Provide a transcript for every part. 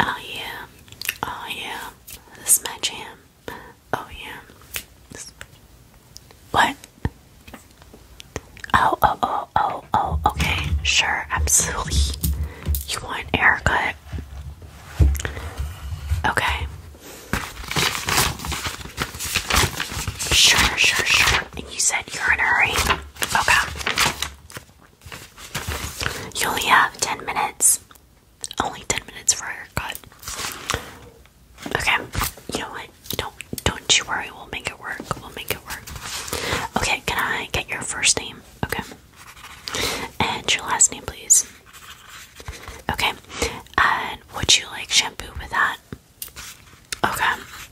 Oh yeah, oh yeah, this is my jam. Oh yeah. This... What? Oh, oh, oh, oh, oh, okay, sure, absolutely. You want a haircut? Okay. Sure, sure, sure. And you said you're in a hurry. Okay. You only have 10 minutes. Only 10 minutes for a cut. Okay, you know what? Don't don't you worry, we'll make it work. We'll make it work. Okay, can I get your first name? Okay. And your last name, please. Okay. And would you like shampoo with that? Okay.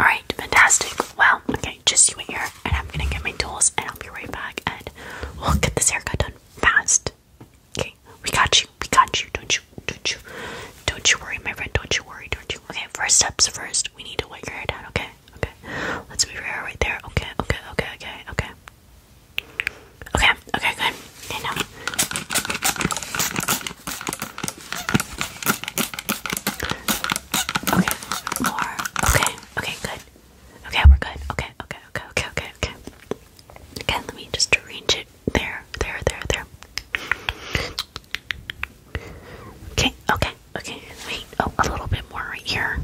Alright, fantastic. Well, okay, just you wait here and I'm gonna get my tools and I'll be right back and we'll get this haircut done fast. Okay, we got you, we got you, don't you don't you don't you worry, my friend, don't you worry, don't you okay, first steps first, we need to wet your hair down, okay? Okay. Let's move your hair right there. Okay, okay, okay, okay, okay. Okay, okay, good. Okay, now Okay, more. Okay, okay, good. Okay, we're good. Okay, okay, okay, okay, okay, okay. Again, let me just arrange it there, there, there, there. Okay, okay, okay. Wait, oh, a little bit more right here.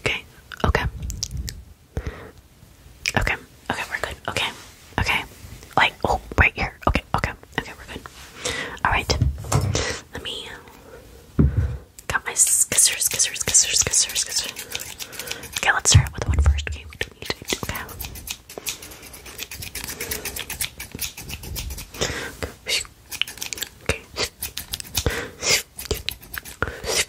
Okay, okay, Okay, okay, we're good. Okay, okay. Like, oh, right here. Okay, okay, okay, we're good. Alright, let me. Got my scissors, scissors, scissors, scissors, scissors. Okay, let's start with one first. Okay, we don't need to. Okay. Okay.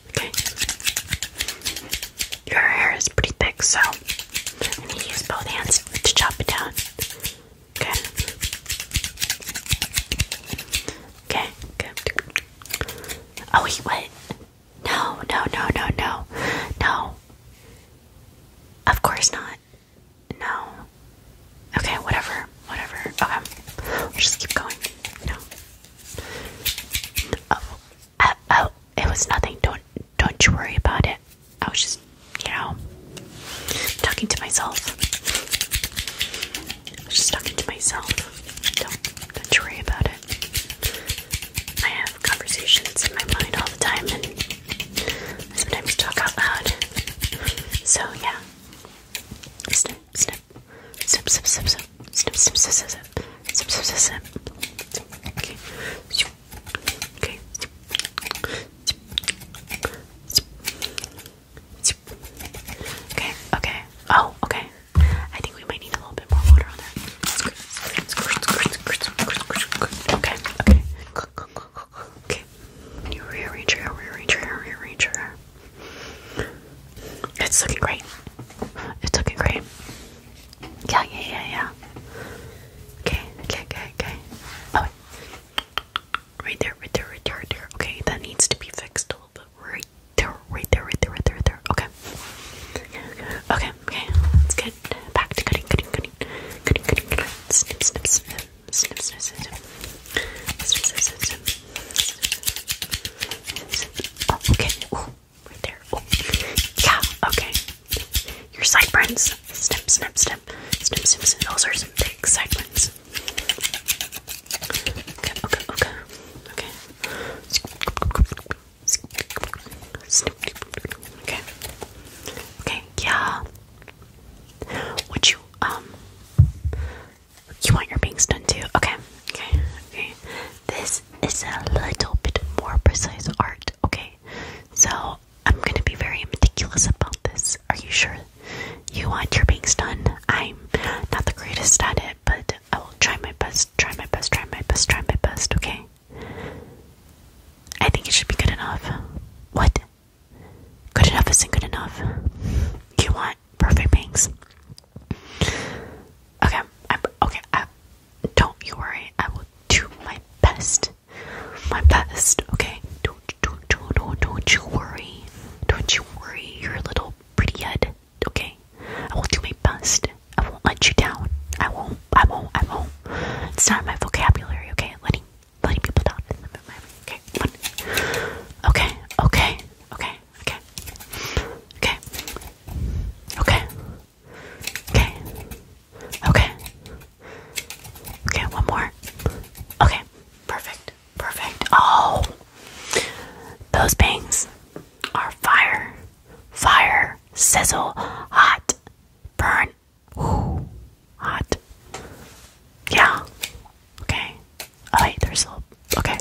Okay. Your hair is pretty thick, so I'm gonna use both hands to chop it down. Okay. Okay, Oh wait, what? No, no, no, no, no. No. Of course not. No. Okay, whatever. Whatever. Okay. just keep going. No. Oh, oh, it was nothing. Don't, don't you worry about it. I was just, you know, talking to myself. I was just talking to myself. Don't, don't you worry about it. I have conversations in my mind all the time, and sometimes talk out loud. So yeah, snip, snip snip, snip, snip, snip, snip, snip, snip, snip, snip, snip, snip, Okay. Okay. Okay. Okay. Oh, okay. I think we might need a little bit more water on that. Okay. Okay. Okay. You rearrange your hair, rearrange your hair, rearrange your hair. It's looking great. It's looking great. Yeah, yeah, yeah, yeah. Okay, okay, okay, okay. Oh, wait. Right there, right there, right there, right there. Okay, that needs to be fixed a little bit. Right there, right there, right there, right there, right there. Okay. Okay, okay. Let's get back to cutting, cutting, cutting. Cutting, cutting, cutting. Snip, snip, snip. Snip, snip, snip. Snip, snip, snip. Oh, okay. Oh, right there. Oh. Yeah, okay. Your sideburns. Snip, snip, snip. Snip, snip, snip. Those are some big sideburns. Okay, okay, okay. Okay. Snip. Okay. Okay, yeah. Would you, um, you want your bangs done too? Okay, okay, okay. This is a little bit more precise art, okay? So I'm gonna be very meticulous about this. Are you sure you want your bangs done? I'm not the greatest at it, but I will try my best, try my best, try my best, try my best, okay? I think it should be good enough. What? Good enough isn't good enough. You want want perfect bangs. Okay, I'm okay. I, don't you worry. I will do my best. My best. Okay. Don't don't don't don't, don't you worry. Don't you worry. Your little pretty head. Okay. I will do my best. I won't let you down. I won't. I won't. I won't. It's not in my vocabulary. Okay. Letting letting people down. Okay. Okay. Okay. Okay okay, okay, okay, okay, okay, okay, one more, okay, perfect, perfect. Oh, those bangs are fire, fire, sizzle, hot, burn, ooh, hot, yeah, Okay. Oh wait, okay.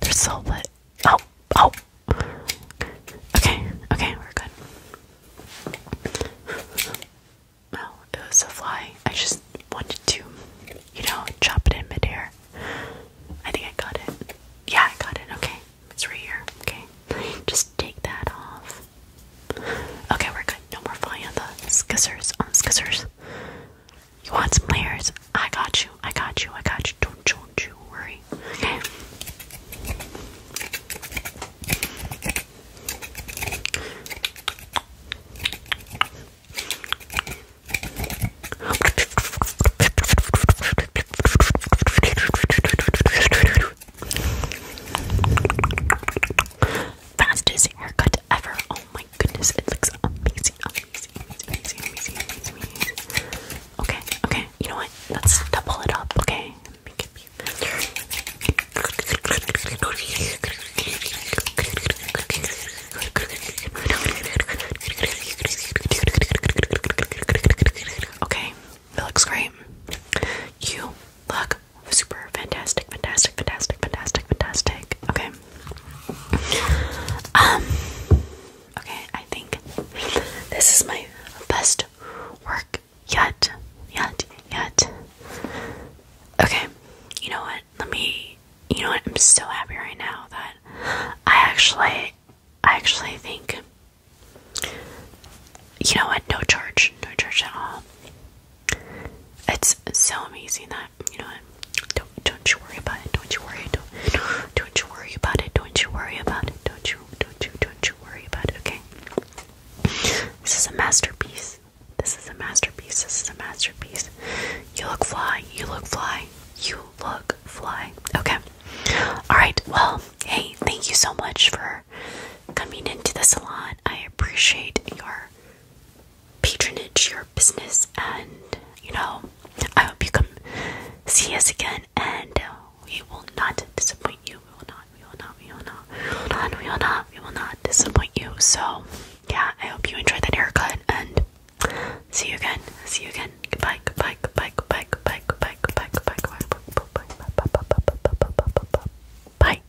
They're still lit. Oh, oh. Okay, okay, we're good. Oh, it was a fly. I just wanted to, you know, chop it in midair. I think I got it. Yeah, I got it. Okay, it's right here. Okay, just take that off. Okay, we're good. No more flying on the scissors. On the scissors. You want some layers? I got you. I got you. I got you. Don't, you worry. Okay fastest haircut ever. Oh my goodness, it looks amazing, amazing, amazing, amazing, amazing, amazing. Okay, okay, you know what? Let's double it up, okay? Okay, it looks great. You look super fantastic, fantastic, fantastic, fantastic, fantastic. Okay, um, okay, I think this is my best work yet. Yet, yet. Okay, you know what? Let me, you know what? I'm so happy right now that I actually, I actually think, you know what? No church, no church at all. It's so amazing that you know Don't don't you worry about it. Don't you worry. Don't don't you worry about it. Don't you worry about it. Don't you don't you don't you worry about it. Okay. This is a masterpiece. This is a masterpiece. This is a masterpiece. You look fly. You look fly. You look fly. Okay. All right. Well, hey, thank you so much for coming into the salon. I appreciate your patronage your business and you know i hope you come see us again and uh, we will not disappoint you we will not we will not we will not we will not we will not we will not disappoint you so yeah i hope you enjoyed that haircut and see you again see you again goodbye goodbye goodbye goodbye goodbye goodbye goodbye goodbye goodbye goodbye goodbye goodbye goodbye goodbye goodbye goodbye goodbye